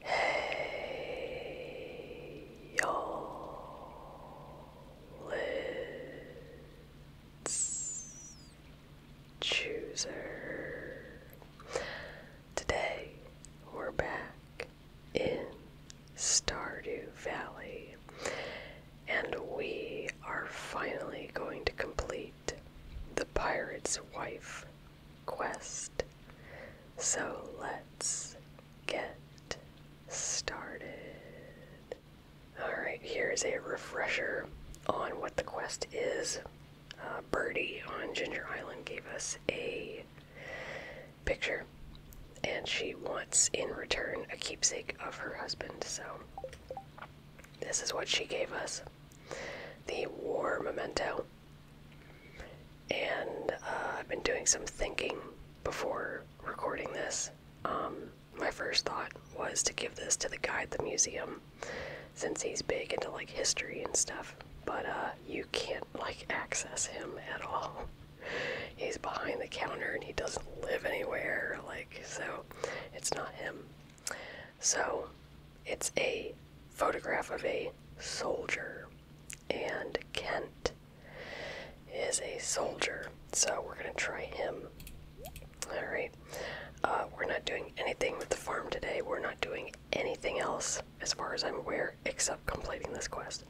Hey, y'all, it's Chooser. Today we're back in Stardew Valley, and we are finally going to complete the Pirate's Wife quest. So let's get started. Alright, here's a refresher on what the quest is. Uh, Birdie on Ginger Island gave us a picture, and she wants in return a keepsake of her husband, so this is what she gave us the war memento. And uh, I've been doing some thinking before recording this. Um, my first thought was to give this to the guy at the museum since he's big into like history and stuff, but uh, you can't like access him at all. He's behind the counter and he doesn't live anywhere, like, so it's not him. So it's a photograph of a soldier, and Kent is a soldier, so we're gonna try him. Alright, uh, we're not doing anything with the farm today, we're not doing anything else, as far as I'm aware, except completing this quest.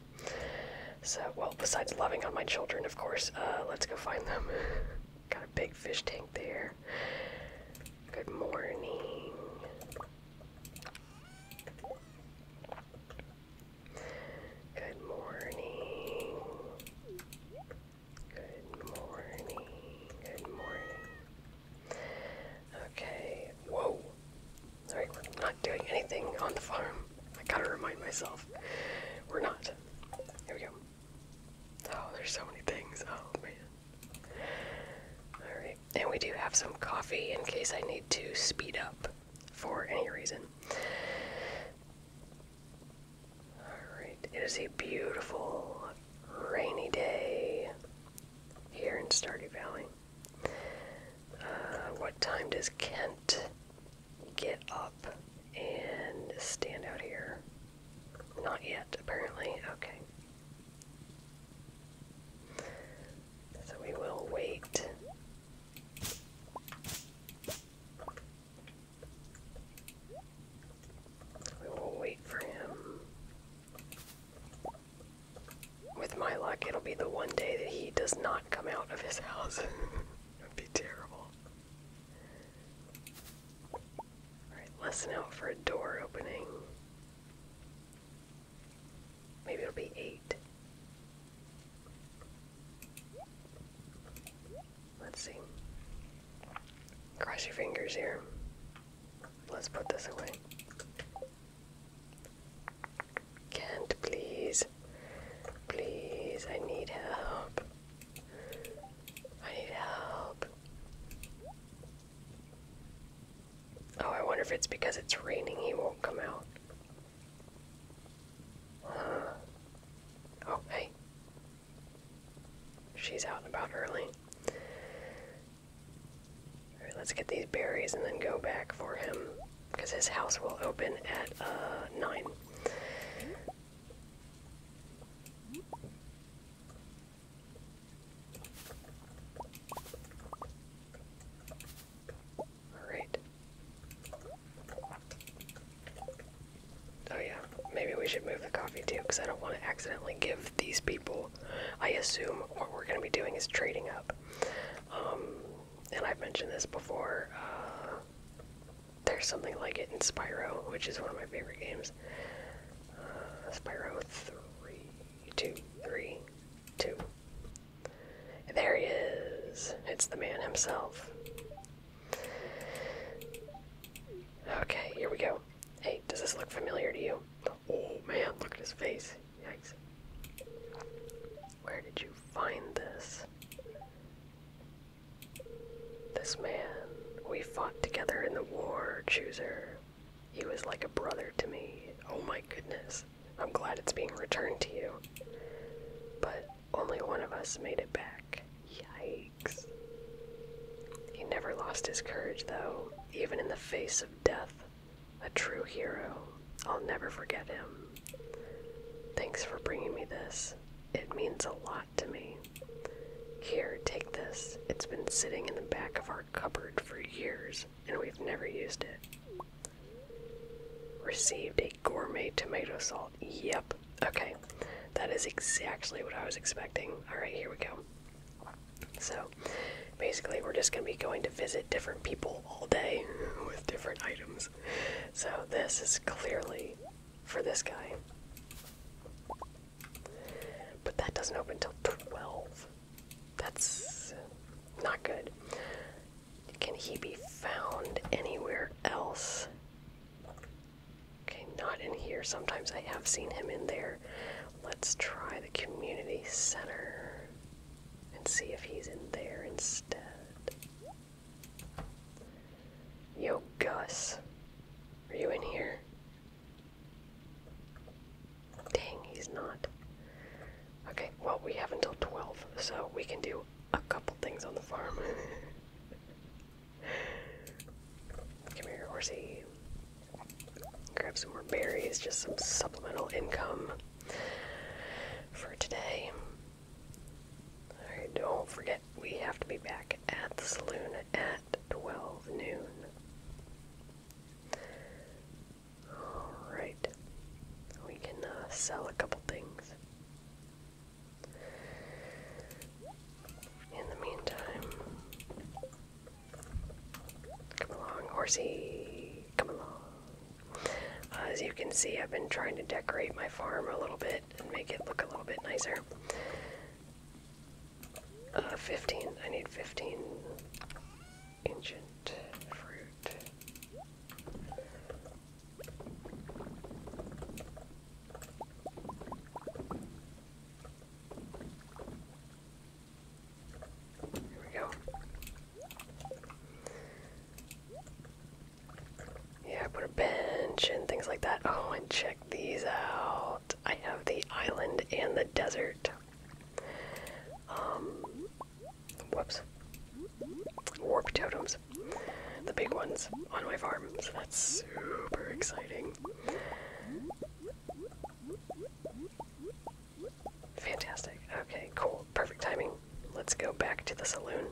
So, well, besides loving on my children, of course, uh, let's go find them. Got a big fish tank there. Good morning. Good morning. Good morning. Good morning. Okay. Whoa. Sorry, we're not doing anything on the farm. I gotta remind myself. We're not. Here we go. Oh, there's so many things. Oh man. Alright, and we do have some coffee in case I need to speed up for any reason. Alright, it is a beautiful rainy day here in Stardew Valley. Uh, what time does Kent get up and stand out here? Not yet, apparently. Okay. So we will wait. We will wait for him. With my luck, it'll be the one day that he does not come out of his house. it would be terrible. Alright, listen out for a door opening. Maybe it'll be eight. Let's see. Cross your fingers here. Let's put this away. Can't please. Please, I need help. I need help. Oh, I wonder if it's because it's raining he won't come out. oh, hey. She's out and about early. let's get these berries and then go back for him. Because his house will open at uh, 9. Alright. Oh yeah, maybe we should move the coffee too, because I don't want to accidentally give these people. I assume what we're going to be doing is trading up. Um, and I've mentioned this before. Uh, there's something like it in Spyro, which is one of my favorite games. Spyro 3, there he is. It's the man himself. Okay, here we go. Hey, does this look familiar to you? Oh man, look at his face. Yikes. Where did you find this? This man. We fought together in the war, Chooser. He was like a brother to me. Oh my goodness. I'm glad it's being returned to you. But only one of us made it back. Yikes. He never lost his courage, though, even in the face of death. A true hero. I'll never forget him. Thanks for bringing me this. It means a lot to me. Here, take this. It's been sitting in the back of our cupboard for years, and we've never used it. Received a gourmet tomato salt. Yep. Okay. That is exactly what I was expecting. Alright, here we go. So, basically, we're just going to be going to visit different people all day with different items. So, this is clearly for this guy. But that doesn't open till 12. That's not good. Can he be found anywhere else? Okay, not in here. Sometimes I have seen him in there. Let's try the community center and see if he's in there instead. Yo, Gus. Are you in here? Dang, he's not. Okay, well, we have until 12, so we can do a couple things on the farm. Come here, horsey. Grab some more berries, just some supplemental income for today. Alright, don't forget. We have to be back at the saloon at 12 noon. Alright. We can uh, sell a couple things. In the meantime, come along, horsey. Come along. Uh, as you can see, I've been trying to decorate my farm a little bit and make it look a little bit nicer. Uh, 15. I need 15 ancient fruit. Here we go. Yeah, put a bench and things like that. Oh, and check these out. I have the island and the desert. Um, whoops. Warp totems. The big ones on my farm, so that's super exciting. Fantastic. Okay, cool. Perfect timing. Let's go back to the saloon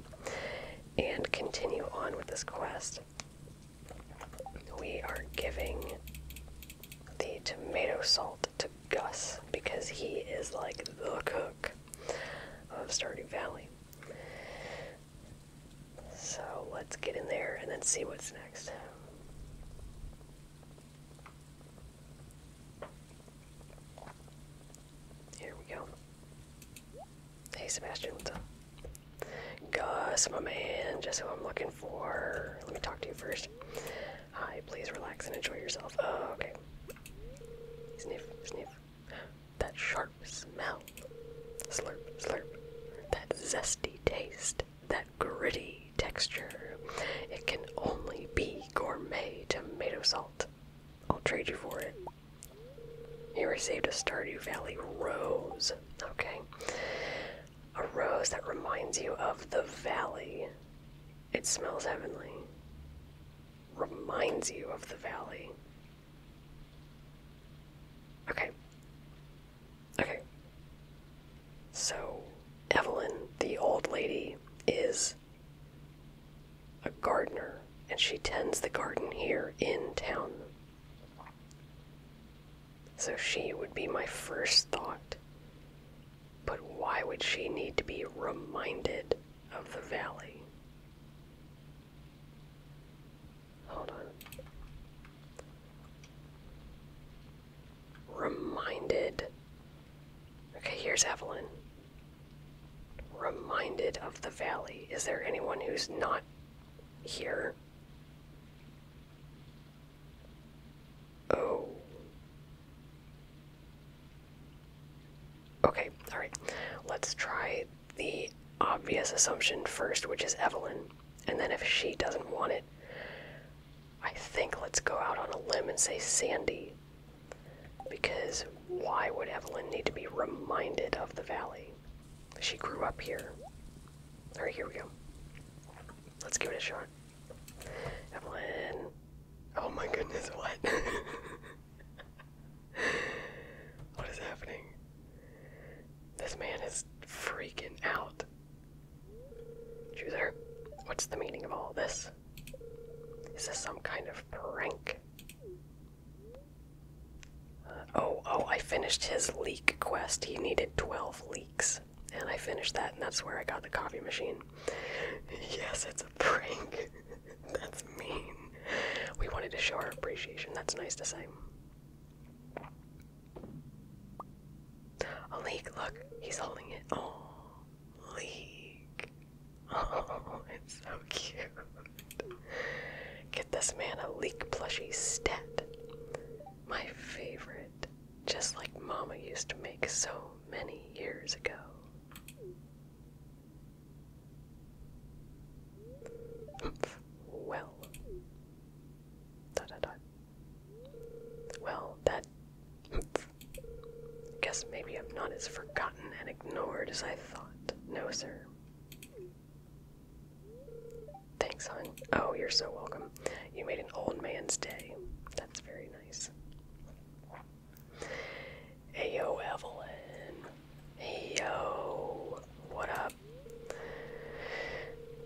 and continue on with this quest. We are giving the tomato salt to Gus because he is like the cook of Stardew Valley. So let's get in there and then see what's next. Here we go. Hey, Sebastian, what's up? Gus, my man, just who I'm looking for. Let me talk to you first. Hi, please relax and enjoy yourself. Oh, okay. Sniff, sniff. That sharp smell. Slurp, slurp. That zesty taste. That gritty texture. It can only be gourmet tomato salt. I'll trade you for it. He received a Stardew Valley rose. Okay. A rose that reminds you of the valley. It smells heavenly. Reminds you of the valley. Okay. Okay. So, Evelyn, the old lady, is a gardener, and she tends the garden here in town. So she would be my first thought. But why would she need to be reminded of the valley? Hold on. Reminded. Okay, here's Evelyn. Reminded of the valley. Is there anyone who's not here. Oh. Okay, alright. Let's try the obvious assumption first, which is Evelyn. And then if she doesn't want it, I think let's go out on a limb and say Sandy. Because why would Evelyn need to be reminded of the valley? She grew up here. Alright, here we go. Let's give it a shot. Evelyn. Oh my goodness, what? what is happening? This man is freaking out. Choose What's the meaning of all this? Is this some kind of prank? Oh, oh, I finished his leak quest. He needed 12 leaks. And I finished that, and that's where I got the coffee machine. Yes, it's a prank. that's mean. We wanted to show our appreciation. That's nice to say. A leak, look, he's holding it. Oh, leak. Oh, it's so cute. Get this man a leak plushie stat. My favorite. Just like Mama used to make so many years ago. well. Dot, dot, dot. Well, that. Guess maybe I'm not as forgotten and ignored as I thought. No, sir. Thanks, hon. Oh, you're so welcome. You made an old man's day. That's very nice. Hey, yo, Evelyn. Hey, yo. What up?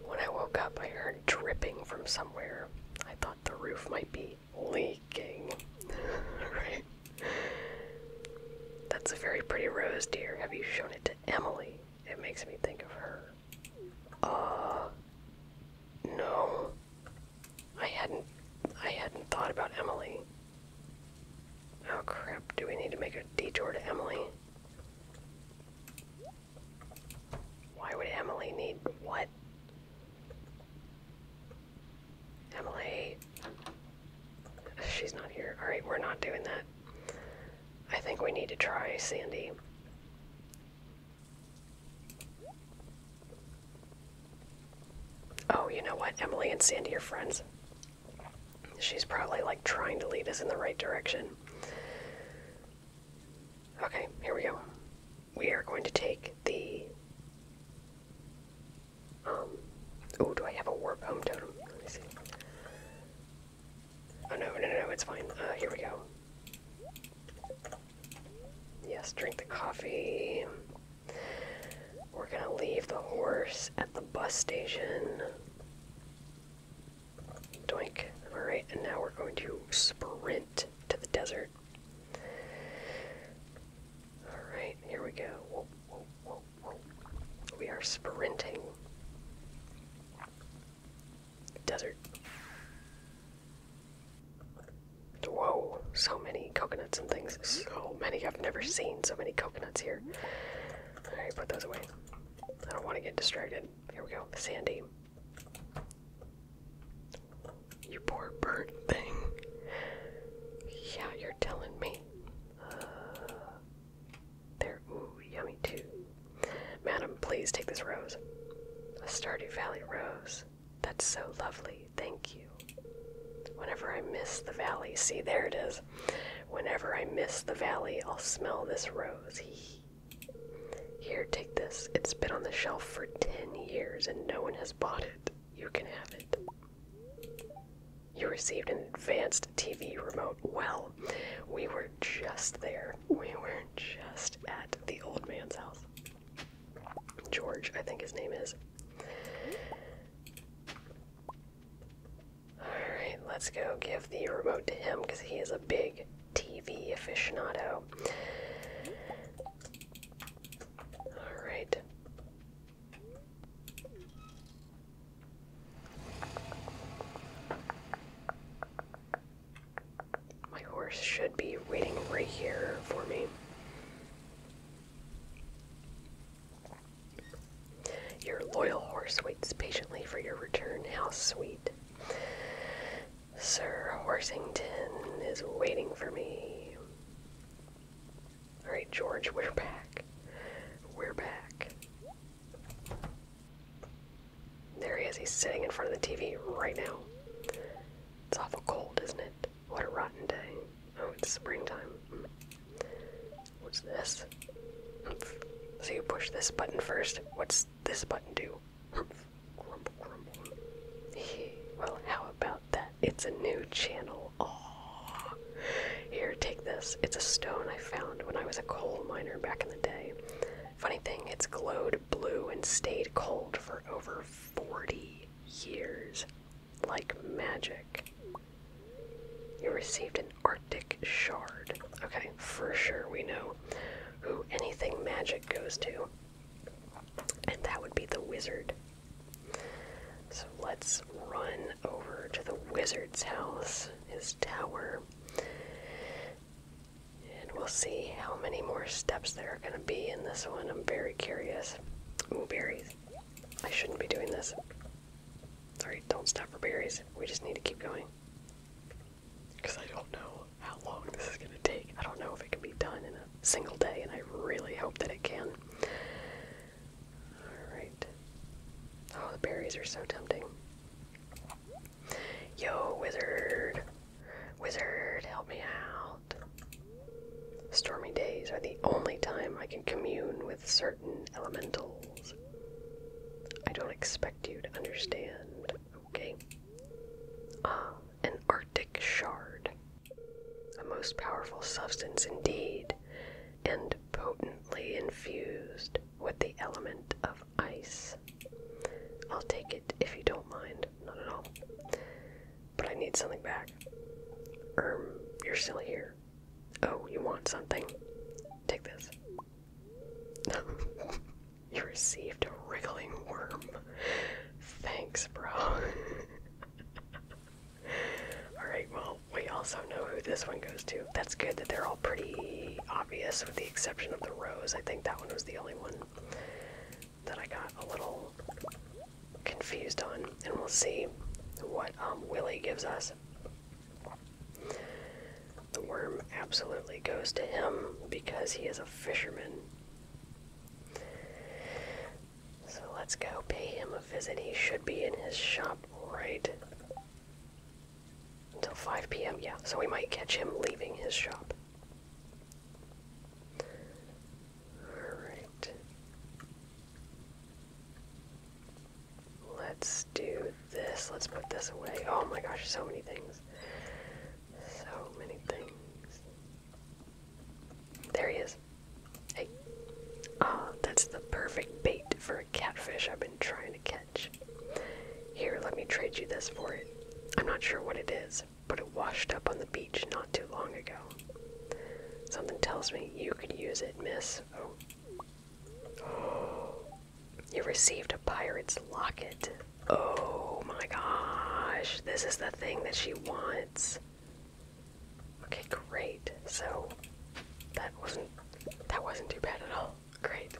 When I woke up, I heard dripping from somewhere. I thought the roof might be leaking. right? That's a very pretty rose, dear. Have you shown it to Emily? It makes me think of her. Uh no. I hadn't I hadn't thought about Emily. Oh crap, do we need to make a detour to Emily? Why would Emily need what? Emily. She's not here. Alright, we're not doing that. I think we need to try Sandy. Oh, you know what? Emily and Sandy are friends. She's probably like trying to lead us in the right direction. Okay, here we go. We are going to take the Oh, do I have a warp home totem? Let me see. Oh no, no, no, no, it's fine. Uh, here we go. Yes, drink the coffee. We're gonna leave the horse at the bus station. Doink. Alright, and now we're going to sprint to the desert. Alright, here we go. Whoa, whoa, whoa, whoa. We are sprinting. Desert. Whoa, so many coconuts and things. So many. I've never seen so many coconuts here. Alright, put those away. I don't want to get distracted. Here we go. Sandy. You poor burnt thing. Yeah, you're telling me there, ooh, yummy too. Madam, please take this rose. A Stardew Valley rose. That's so lovely. Thank you. Whenever I miss the valley, see, there it is. Whenever I miss the valley, I'll smell this rose. Here, take this. It's been on the shelf for 10 years and no one has bought it. You can have it. You received an advanced TV remote. Well, we were just there. We were just at the old man's house. George, I think his name is. Alright, let's go give the remote to him because he is a big TV aficionado. Alright. My horse should be waiting right here for me. Your loyal horse waits patiently for your return. How sweet. Sir Horsington is waiting for me. Alright, George, we're back. We're back. There he is. He's sitting in front of the TV right now. It's awful cold, isn't it? What a rotten day. Oh, it's springtime. What's this? So you push this button first. What's this button do? well, how about that? It's a new channel. Oh, here, take this. It's a stone I found when I was a coal miner back in the day. Funny thing, it's glowed blue and stayed cold for over 40 years. Like magic. You received an Arctic shard. Okay, for sure we know who anything magic goes to. And that would be the wizard. So let's run over to the wizard's house, his tower, and we'll see how many more steps there are going to be in this one. I'm very curious. Ooh, berries. I shouldn't be doing this. Sorry, don't stop for berries. We just need to keep going. Because I don't know how long this is going to take. I don't know if it can be done in a single day, and I really hope that it can. Alright. Oh, the berries are so tempting. Yo, wizard! Wizard, help me out. Stormy days are the only time I can commune with certain elementals. I don't expect you to understand, okay? Ah, an arctic shard a most powerful substance indeed, and potently infused with the element of ice. I'll take it if you don't mind, not at all. But I need something back. um, you're still here. Oh, you want something? Take this. you received a wriggling worm. Thanks, bro. Alright, well, we also know who this one goes to. That's good that they're all pretty obvious, with the exception of the rose. I think that one was the only one that I got a little confused on. And we'll see what um, Willie gives us. The worm absolutely goes to him because he is a fisherman. So let's go pay him a visit. He should be in his shop, right? Until 5 p.m., yeah. So we might catch him leaving his shop. Alright. Let's do this. Let's put this away. Oh my gosh, so many things. So many things. There he is. Ah, that's the perfect bait for a catfish I've been trying to catch. Here, let me trade you this for it. I'm not sure what it is, but it washed up on the beach not too long ago. Something tells me you could use it, miss. Oh. You received a pirate's locket. Oh my gosh, this is the thing that she wants. Okay, great. So that wasn't that wasn't too bad at all. Great.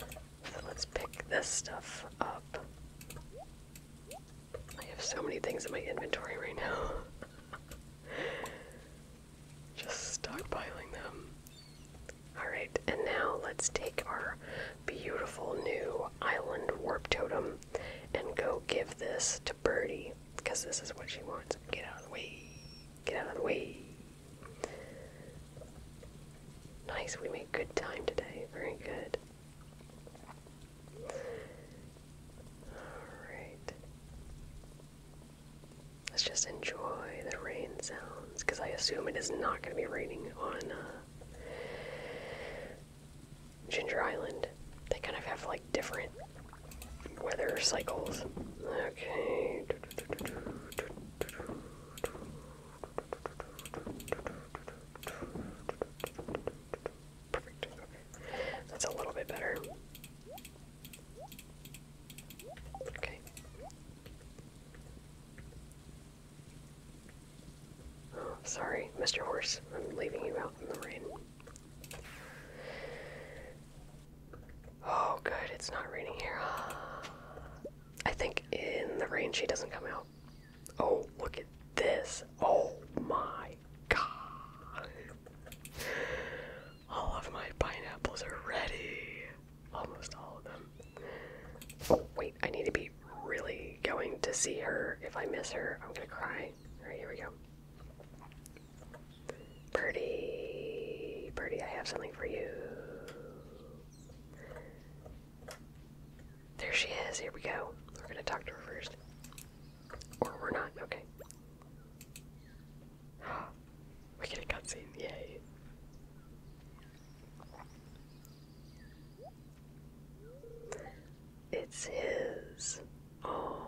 So let's pick this stuff up. I have so many things in my inventory right now. Just stockpiling them. Alright, and now let's take our beautiful new island warp totem and go give this to Birdie because this is what she wants. Get out of the way. Get out of the way. Nice, we made good time today. Very good. Alright. Let's just enjoy the rain sounds because I assume it is not going to be raining on uh, Ginger Island. They kind of have like different weather cycles. Okay. That's a little bit better. Okay. Oh, Sorry, Mr. Horse, I'm leaving you out in the rain. Oh, good, it's not raining here. I think in the rain she doesn't come out. Oh, look at this. Oh my god. All of my pineapples are ready. Almost all of them. Oh, wait, I need to be really going to see her. If I miss her, I'm gonna cry. Alright, here we go. Birdie, Birdie, I have something for you. There she is. Here we go. We're gonna talk to her first. Or we're not. Okay. we get a cutscene. Yay. It's his. Oh.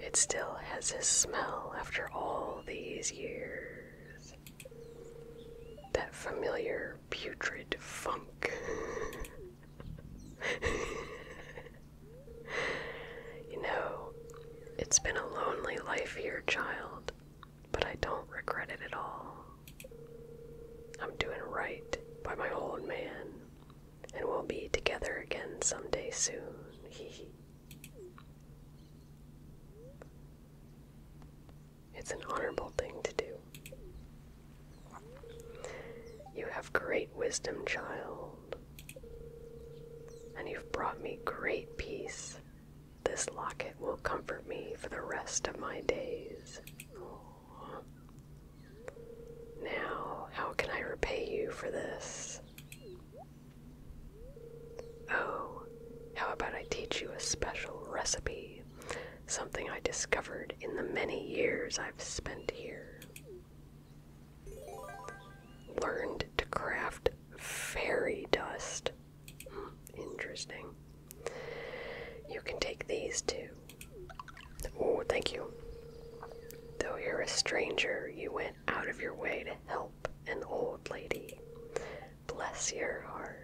It still has his smell after all these years. That familiar putrid funk. you know, it's been a lonely life here, child, but I don't regret it at all. I'm doing right by my old man, and we'll be together again someday soon. Hee It's an honorable thing to do. You have great wisdom, child. And you've brought me great peace. This locket will comfort me for the rest of my days. Now, how can I repay you for this? Oh, how about I teach you a special recipe? Something I discovered in the many years I've spent here. Learned to craft fairy dust. Hmm, interesting. You can take these too. Oh, thank you. Though you're a stranger, you went out of your way to help an old lady. Bless your heart.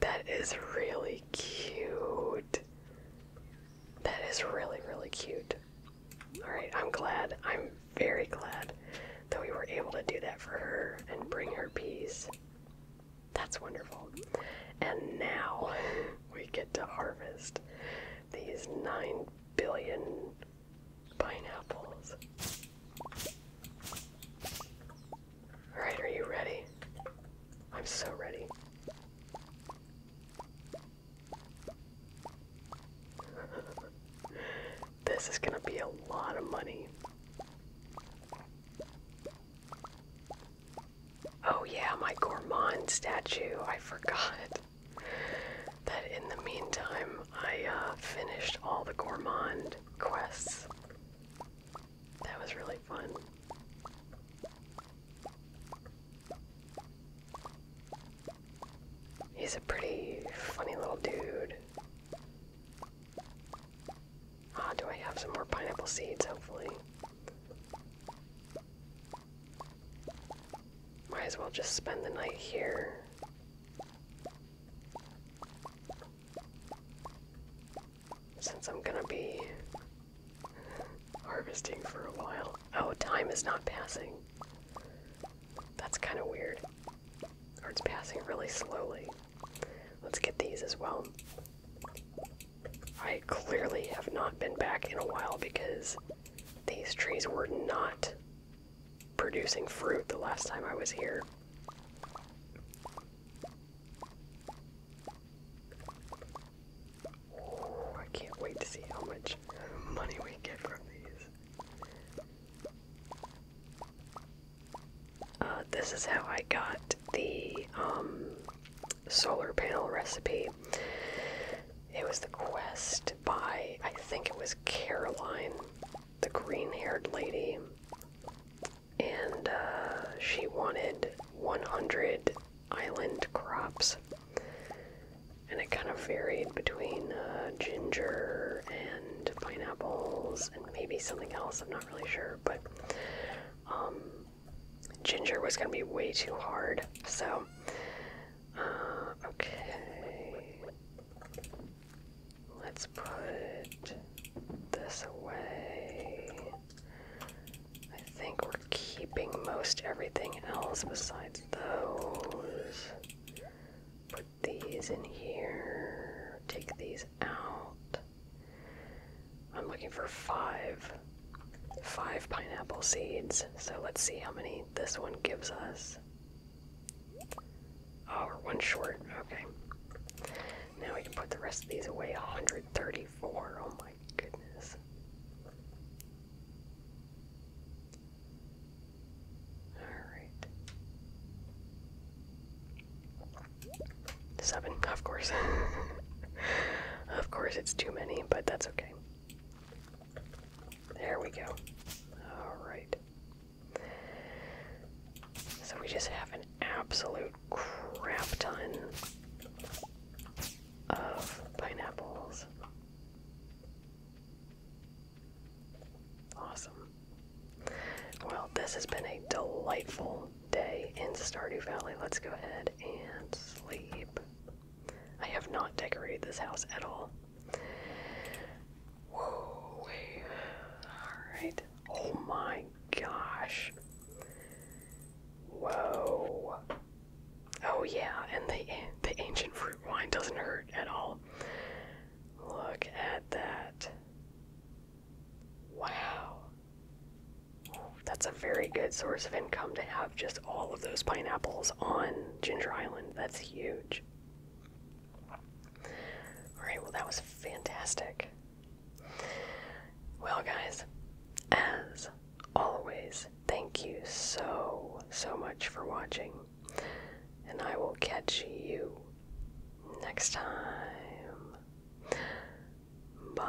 That is really cute. That is really, really cute. Alright, I'm glad. I'm very glad that we were able to do that for her and bring her peace. That's wonderful. And now we get to harvest these 9 billion pineapples. Alright, are you ready? I'm so ready. this is gonna be a lot of money. Oh, yeah, my gourmand statue. I forgot that in the meantime, I uh, finished all the gourmand quests. That was really fun. He's a pretty funny little dude. Ah, do I have some more pineapple seeds, hopefully? Might as well just spend the night here. Since I'm gonna be harvesting for a while. Oh, time is not passing. That's kind of weird. Or it's passing really slowly. Let's get these as well. I clearly have not been back in a while because these trees were not producing fruit the last time I was here. I can't wait to see how much money we get from these. Uh, this is how I got the um, solar panel recipe. It was the quest by, I think it was Caroline, the green haired lady and uh, she wanted 100 island crops. And it kind of varied between uh, ginger and pineapples and maybe something else, I'm not really sure. But um, ginger was going to be way too hard. So, uh, okay. Let's put this away. I think we're keeping most everything else besides those. Put these in here. Take these out. I'm looking for five. Five pineapple seeds. So let's see how many this one gives us. Oh, we're one short. Okay. Now we can put the rest of these away. 134. Oh my goodness. Alright. Seven, of course. of course, it's too many, but that's okay. There we go. Alright. So we just have an absolute crap ton of pineapples. Awesome. Well, this has been a delightful day in Stardew Valley. Let's go ahead and sleep. I have not decorated this house at all. Whoa, Alright. Oh my gosh. Whoa. Oh yeah, and the the ancient fruit wine doesn't hurt at all. Look at that. Wow. That's a very good source of income to have just all of those pineapples on Ginger Island. That's huge. Alright, well, that was fantastic. Well, guys, as always, thank you so, so much for watching. And I will catch you next time. Bye.